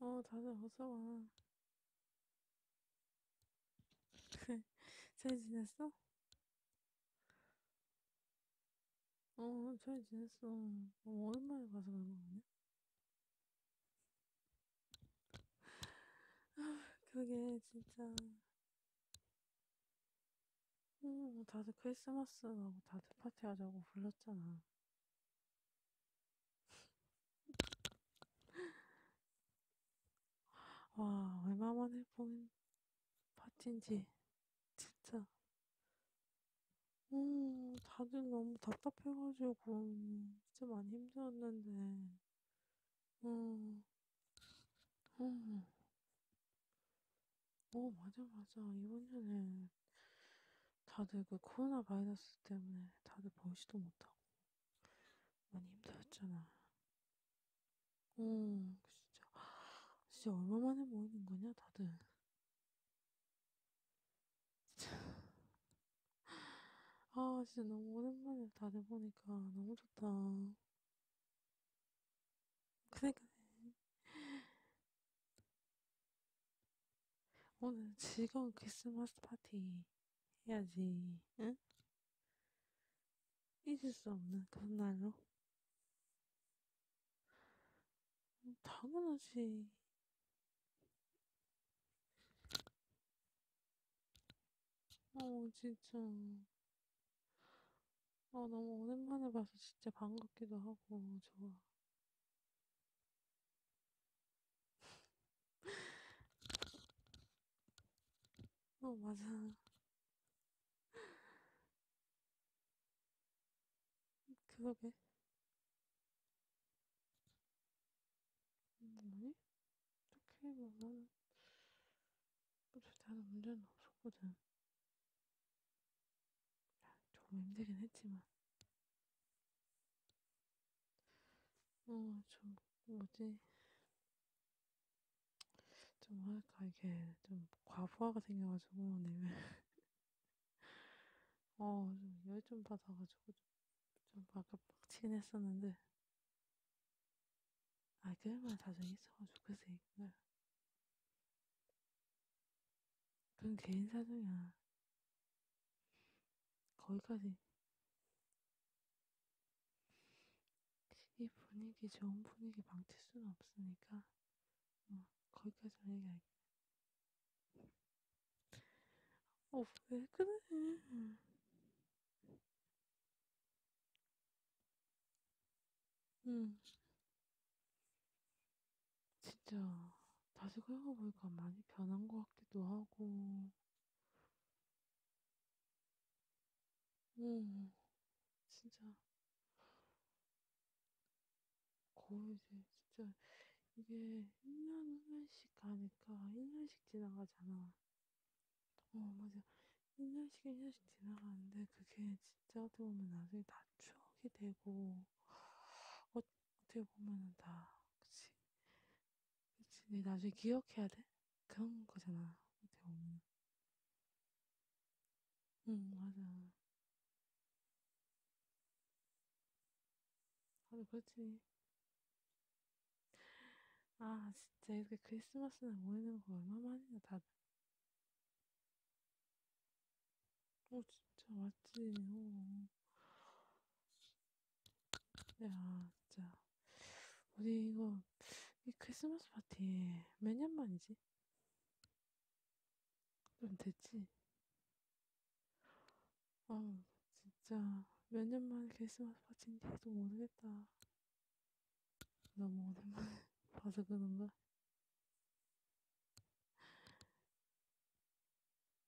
어, 다들 어서 와. 잘 지냈어? 어, 잘 지냈어. 어, 오랜만에 봐서 그런 거 아니야? 아, 그게 진짜 음, 뭐 다들 크리스마스 하고 다들 파티하자고 불렀잖아. 와 얼마만에 본 파티인지 진짜 음 다들 너무 답답해가지고 진짜 많이 힘들었는데 음, 음. 어, 맞아, 맞아. 이번에는 다들 그 코로나 바이러스 때문에 다들 벌시도 못하고 많이 힘들었잖아. 응, 음, 진짜. 진짜 얼마만에 모이는 거냐, 다들. 진짜. 아, 진짜 너무 오랜만에 다들 보니까 너무 좋다. 그니까 오늘 즐거운 크리스마스 파티 해야지, 응? 잊을 수 없는 그런 날로. 당연하지. 어, 진짜. 아, 너무 오랜만에 봐서 진짜 반갑기도 하고, 좋아. 어, 맞아. 그러게. 음, 아니? 딱히 뭐 나는 어차피 나는 문제는 없었거든. 아, 조금 힘들긴 했지만. 어, 좀, 뭐지? 좀 뭐랄까, 이게 좀 과부하가 생겨가지고, 내면. 네. 어, 좀 열 좀 받아가지고 좀 아까 빡치긴 했었는데 아 그만 다정히 있어가 좋겠으니까 그건 개인 사정이야 거기까지 이 분위기 좋은 분위기 망칠 수는 없으니까 어, 거기까지만 얘기할게 어, 왜 그래? 응. 음. 진짜 다시 생각해보니까 많이 변한 것 같기도 하고. 응. 음, 진짜 거의 이제 진짜 이게 1년 후면씩 가니까 1년씩 지나가잖아. 어, 맞아. 1년씩, 1년씩 지나가는데 그게 진짜 어떻게 보면 나중에 다 추억이 되고, 어, 어떻게 보면은 다, 그치. 그치. 네 나중에 기억해야 돼? 그런 거잖아. 어떻게 보면. 응, 맞아. 맞아, 그렇지. 아, 진짜 이렇게 크리스마스날 모이는 뭐 거 얼마만이냐, 다들. 어, 진짜 맞지. 어. 야, 진짜. 우리 이거, 이 크리스마스 파티 몇년 만이지? 좀 됐지? 아, 진짜 몇 년 만에 크리스마스 파티인지 도 모르겠다. 너무 오랜만에 봐서 그런가?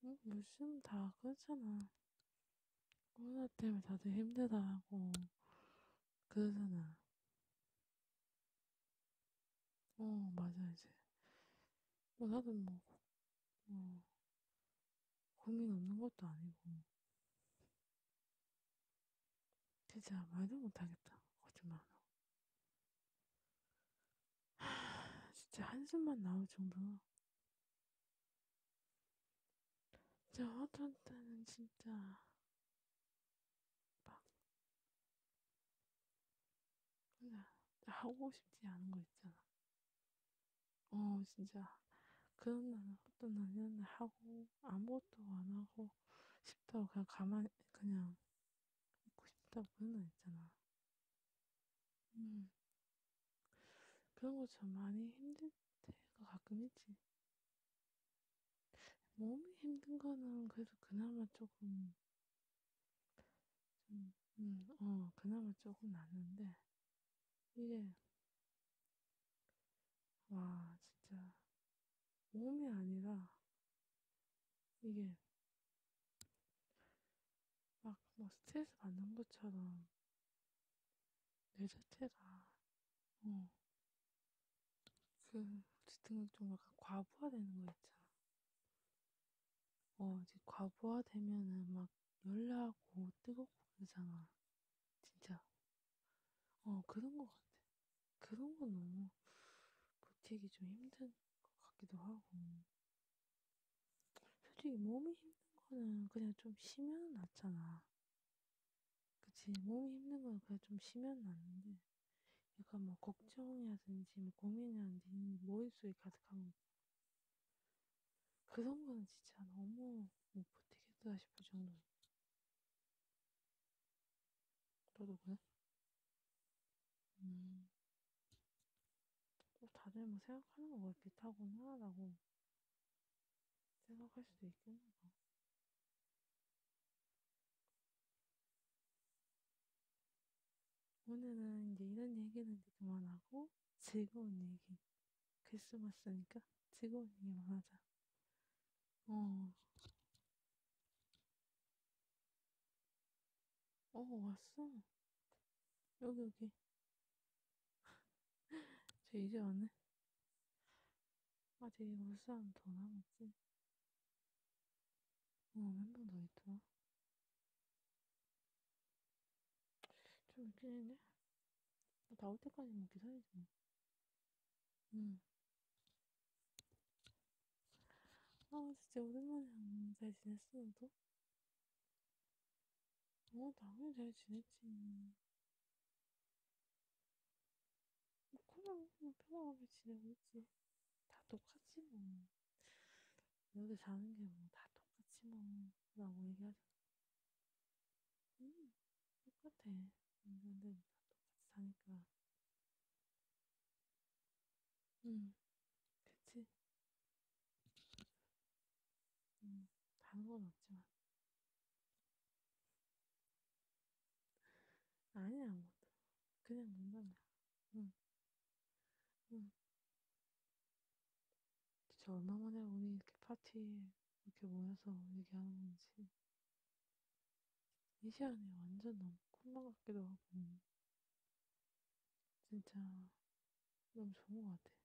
응? 무슨 다 그렇잖아. 코로나 때문에 다들 힘들다고 그러잖아. 어, 맞아, 이제. 뭐, 나도 뭐, 어, 고민 없는 것도 아니고. 진짜 말도 못하겠다. 거짓말로. 하, 진짜 한숨만 나올 정도로. 진짜 어떤 때는 진짜 막 그냥 하고 싶지 않은 거 있잖아. 어, 진짜. 그런 날 아무것도 나는 하고, 아무것도 안 하고 싶다고 그냥 가만히, 그냥 있고 싶다고 그런 날 있잖아. 음. 그런 것처럼 많이 힘들 때가 가끔 있지. 몸이 힘든 거는 그래도 그나마 조금, 좀, 음, 어, 그나마 조금 낫는데, 이게, 와, 진짜, 몸이 아니라, 이게, 막, 뭐, 스트레스 받는 것처럼, 내 자체가, 어, 그, 어쨌든 좀 약간 과부하되는 거 있잖아. 어, 이제 과부하되면은 막 열나고 뜨겁고 그러잖아. 진짜. 어, 그런 것 같아. 그런 건 너무 버티기 좀 힘든 것 같기도 하고. 솔직히 몸이 힘든 거는 그냥 좀 쉬면 낫잖아. 그치? 몸이 힘든 건 그냥 좀 쉬면 낫는데, 약간 뭐 걱정이라든지 뭐 고민이라든지 머릿속에 뭐 가득한 그 선거는 진짜 너무 못 버티겠다 싶을 정도로. 너도 그래? 음. 또 다들 뭐 생각하는 거가 비슷하구나, 라고 생각할 수도 있겠나 봐. 뭐. 오늘은 이제 이런 얘기는 그만하고, 즐거운 얘기. 크리스마스니까 즐거운 얘기만 하자. 어. 어, 왔어. 여기, 여기. 저 이제 왔네. 아, 되게 올 사람 더 남았지? 어, 멤버 더 있더라. 좀 있긴 했네. 나올 때까지 뭐 기다리지 뭐. 응. 아, 진짜 오랜만에 안잘 지냈어, 너도? 어, 당연히 잘 지냈지. 뭐, 그냥, 그냥 편안하게 지내고 있지. 다 똑같지, 뭐. 여기 사는 게 뭐 다 똑같이 뭐 라고 얘기하잖아 음 똑같아 근데 다 똑같이 사니까 음 그치 음 다른 건 없지만 아니야 뭐 그냥 농담이야 응응 응. 진짜 얼마 만에 우리 이렇게 파티 이렇게 모여서 얘기하는 건지 이 시간이 완전 너무 꿈만 같기도 하고 진짜 너무 좋은 것 같아.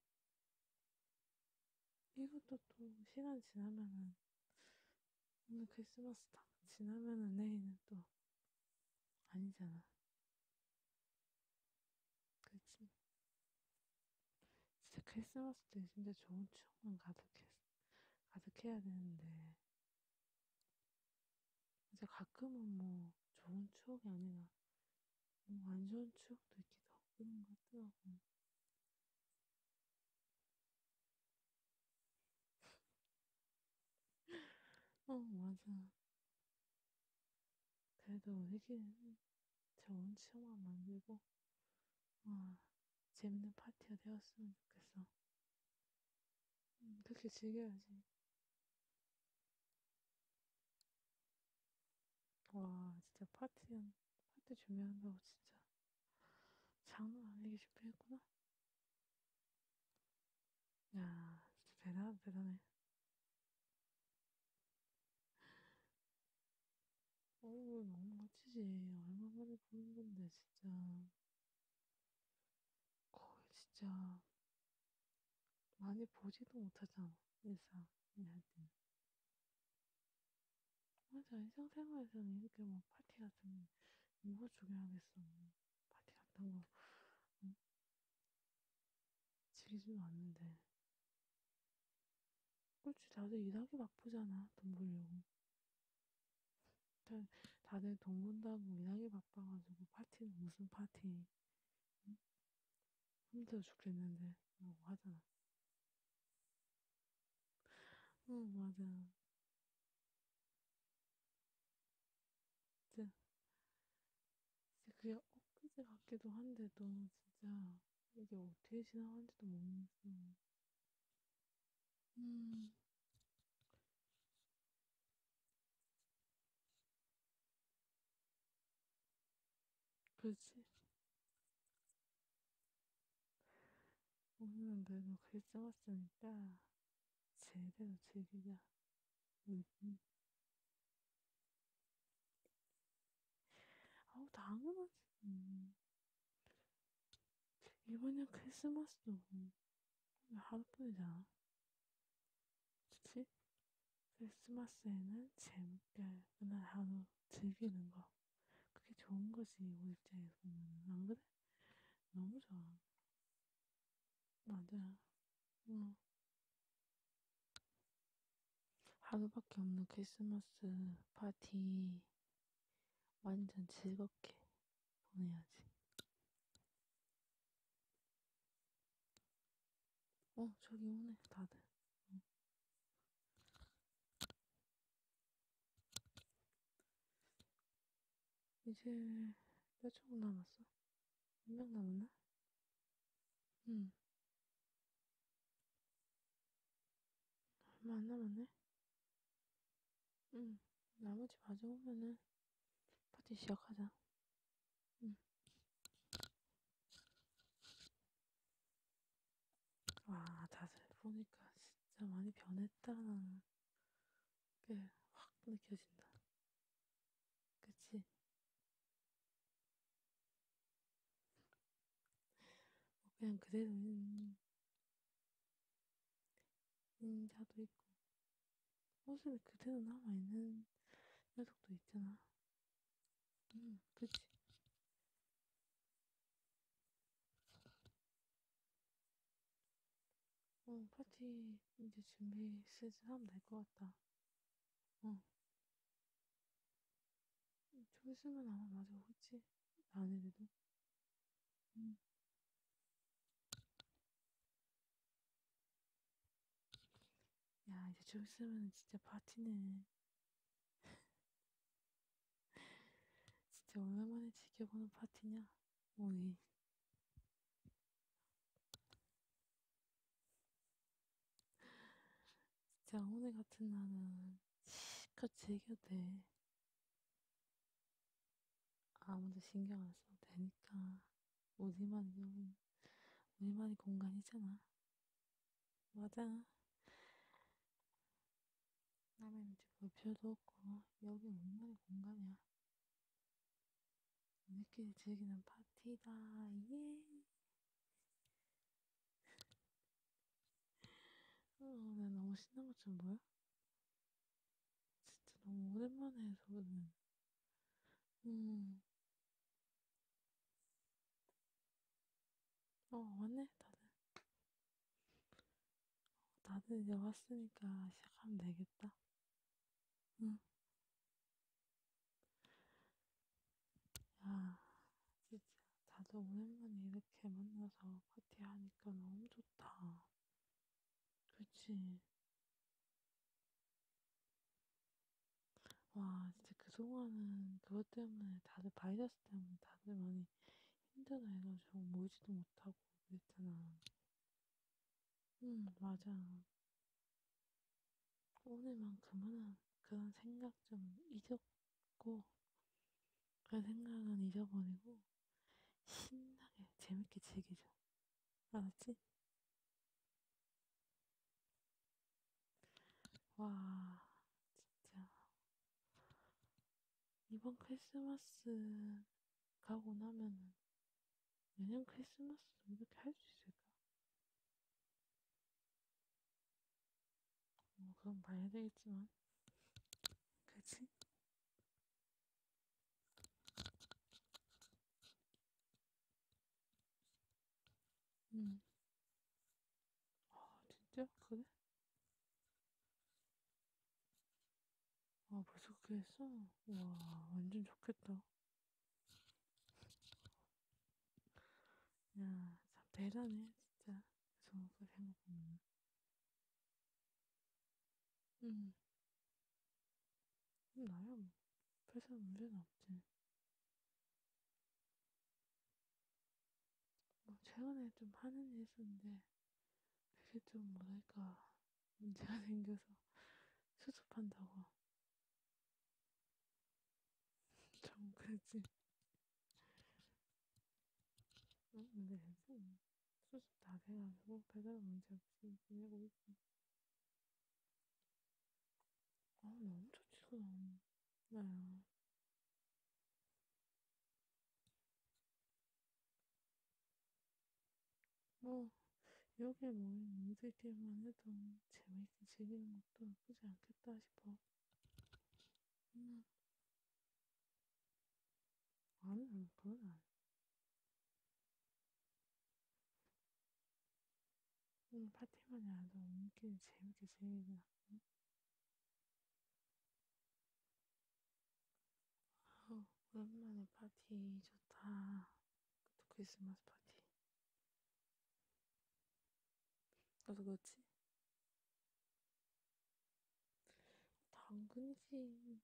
이것도 또 시간 지나면은 오늘 크리스마스다. 지나면은 내일은 또 아니잖아. 그치. 진짜 크리스마스 때 진짜 좋은 추억만 가득했, 가득해야 되는데. 진짜 가끔은 뭐 좋은 추억이 아니라 뭐안 좋은 추억도 있기도 하고 그런 것 같더라고. 어, 맞아. 그래도 회기는 좋은 추억만 만들고 와, 아, 재밌는 파티가 되었으면 좋겠어. 음, 그렇게 즐겨야지. 와 진짜 파티는 파티 준비한다고 진짜 장난 아니게 준비했구나. 야 진짜 대단하다 대단해. 어우 너무 멋지지 얼마만에 보는 건데 진짜 거의 진짜 많이 보지도 못하잖아 일상 일할 때는 맞아 일상생활에서는 이렇게 막 뭐 파티 같은 거 이거 죽여야겠어 뭐 파티 같은 거 응? 질리지도 않는데. 그렇지, 다들 일하기 바쁘잖아, 돈 벌려고. 다들, 다들 돈 번다고 일하기 바빠가지고 파티는 무슨 파티. 응? 힘들어 죽겠는데, 뭐 하잖아. 응, 맞아. 진짜, 진짜 그게 엊그제 같기도 한데 너무 진짜 이게 어떻게 지나간지도 모르겠어. 음. 그렇지. 오늘은 그래도 글 써봤으니까 제대로 즐기자. 음흠. 아우 당연하지. 음. 이번엔 크리스마스도 음, 하루뿐이잖아. 그치? 크리스마스에는 재밌게 그날 하루 즐기는 거. 그게 좋은 거지, 우리 입장에서 보면. 안 그래? 너무 좋아. 맞아. 응. 뭐. 하루밖에 없는 크리스마스 파티 완전 즐겁게 보내야지. 어, 저기 오네, 다들. 응. 이제 몇 초분 남았어? 한명 남았나? 응. 얼마 안 남았네? 응. 나머지 마주오면은 파티 시작하자. 응. 와, 다들 보니까 진짜 많이 변했다라는 게 확 느껴진다. 그치? 뭐 그냥 그대로 음, 인자도 있고 모습이 그대로 남아있는 녀석도 있잖아 응 음, 그치 어 파티 이제 준비 시즌 하면 될 것 같다 어. 조수는 아마 맞아, 그치? 나안 해도. 응. 야, 이제 좀 있으면 진짜 파티네. 진짜 오랜만에 지켜보는 파티냐? 오이. 진짜 오늘 같은 날은 실컷 즐겨도 돼. 아무도 신경 안 써도 되니까 우리만 이용 우리만의 공간이잖아. 맞아. 남의 눈치 볼 필요도 없고 여기 우리만의 공간이야. 우리끼리 즐기는 파티다. 예. 어, 나 너무 신난 것좀 뭐야? 진짜 너무 오랜만에 해서 오늘. 음. 어, 왔네, 다들. 어, 다들 이제 왔으니까 시작하면 되겠다. 응. 야, 진짜 다들 오랜만에 이렇게 만나서 파티하니까 너무 좋다. 그치? 와, 진짜 그동안은 그것 때문에 다들 바이러스 때문에 다들 많이 힘들어해가지고 모이지도 못하고 그랬잖아. 음, 맞아. 오늘만큼은 그런 생각 좀 잊었고, 그런 생각은 잊어버리고, 신나게, 재밌게 즐기자. 알았지? 와, 진짜. 이번 크리스마스 가고 나면은 내년 크리스마스도 이렇게 할 수 있을까? 뭐 그건 봐야 되겠지만 그치? 음. 아 진짜? 그래? 아 벌써 그렇게 했어? 와 완전 좋겠다 야, 참 대단해, 진짜. 정확하게 생각하면. 응. 음, 나야 뭐. 회사 문제는 없지. 뭐, 최근에 좀 하는 일 있었는데, 그게 좀 뭐랄까, 문제가 생겨서 수습한다고. 정크진 응, 어, 근데 요즘 수습 다 돼가지고 배달 문제 없이 지내고 있어. 아 너무 좋지 그럼. 나야. 뭐 여기에 모인 뭐 우리들끼리만 해도 재미있게 즐기는 것도 나쁘지 않겠다 싶어. 음. 아니, 그건 아니. 오늘 파티만이 아니라 우리끼리 재밌게 즐기긴 하고. 아, 오랜만에 파티 좋다. 또 크리스마스 파티. 나도 그렇지. 당근이지.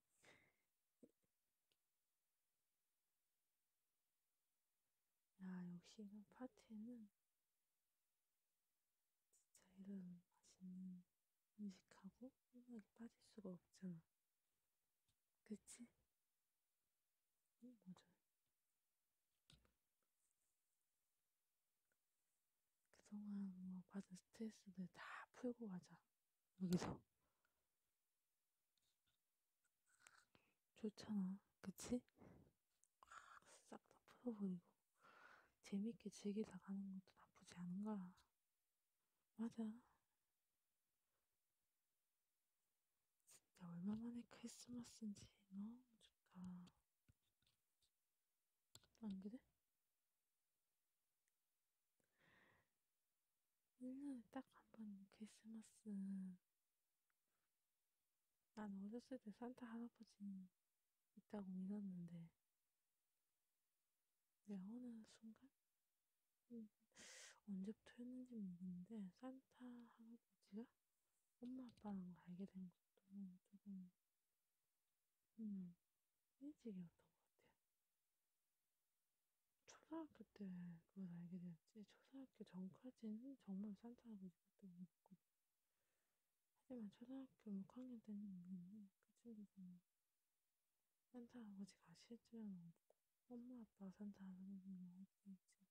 야, 역시 이런 파티에는 진짜 이런 맛있는 음식하고 음악에 빠질 수가 없잖아. 그치? 응, 맞아. 그동안 뭐 받은 스트레스들 다 풀고 가자. 여기서. 좋잖아. 그치? 싹 다 풀어버리고. 재밌게 즐기다 가는 것도 나쁘지 않은 거야. 맞아. 진짜 얼마만에 크리스마스인지 너무 좋다. 안 그래? 1년에 딱 한번 크리스마스. 난 어렸을 때 산타 할아버지 있다고 믿었는데, 내 어느 순간 음, 언제부터 했는지 모르는데 산타 할아버지가 엄마 아빠랑 알게 된 것도 조금 음, 일찍이었던 것 같아요. 초등학교 때 그걸 알게 되었지 초등학교 전까지는 정말 산타 할아버지밖에 몰랐거든요. 하지만 초등학교 6학년 때는 모르는데 그 친구가 산타 아버지가 실제로는 엄마 아빠 산타 할아버지는 알수 있지.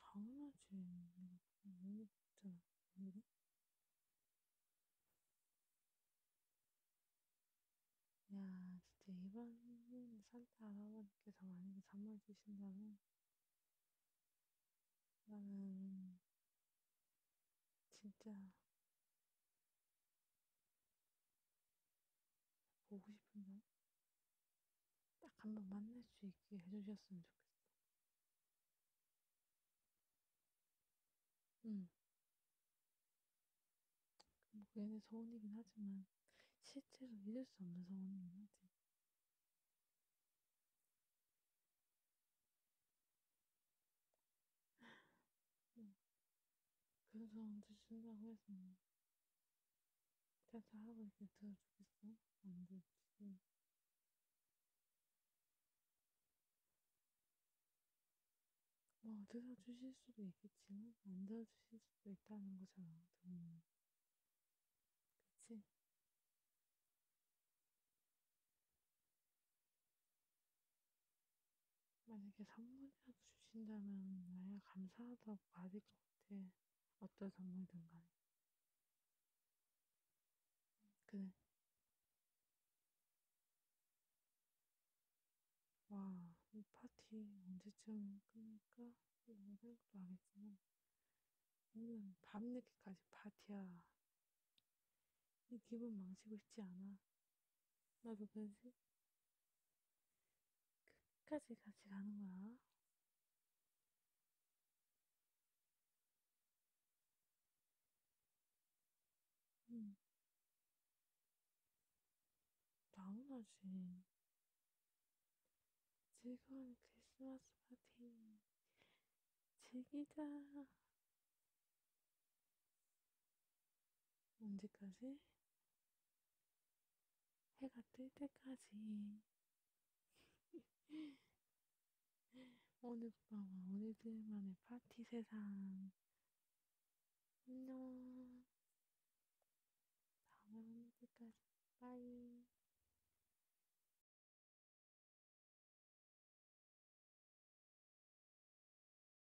당연하지. 내가 너무 봤잖아. 아니래? 야, 진짜 이번 산타 할아버지께서 만약에 선물 주신다면 나는 진짜 보고 싶은 날? 딱한번 만날 수 있게 해주셨으면 좋겠어. 응. 뭐 얘네 서운이긴 하지만 실제로 잊을 수 없는 서운이긴 하지. 응. 그런 사람한테 준다고 해서 자자 하고 이렇게 들어주겠어? 안 되지. 뭐 들어주실 수도 있겠지만 안 들어주실 수도 있다는 거잖아. 음. 그치? 만약에 선물이라도 주신다면 나야 감사하다고 말일 것 같아. 어떤 선물든 간에. 그래. 와, 이 파티 언제쯤 끝날까? 이런 생각도 안 했지만 오늘 밤늦게까지 파티야. 이 기분 망치고 싶지 않아. 나도 그지 끝까지 같이 가는 거야. 응. 음. 당연하지. 즐거운 크리스마스 파티 즐기자. 언제까지? 해가 뜰 때까지. 오늘 밤은 우리들만의 파티 세상. 안녕. 다음에 오는 때까지. 빠이.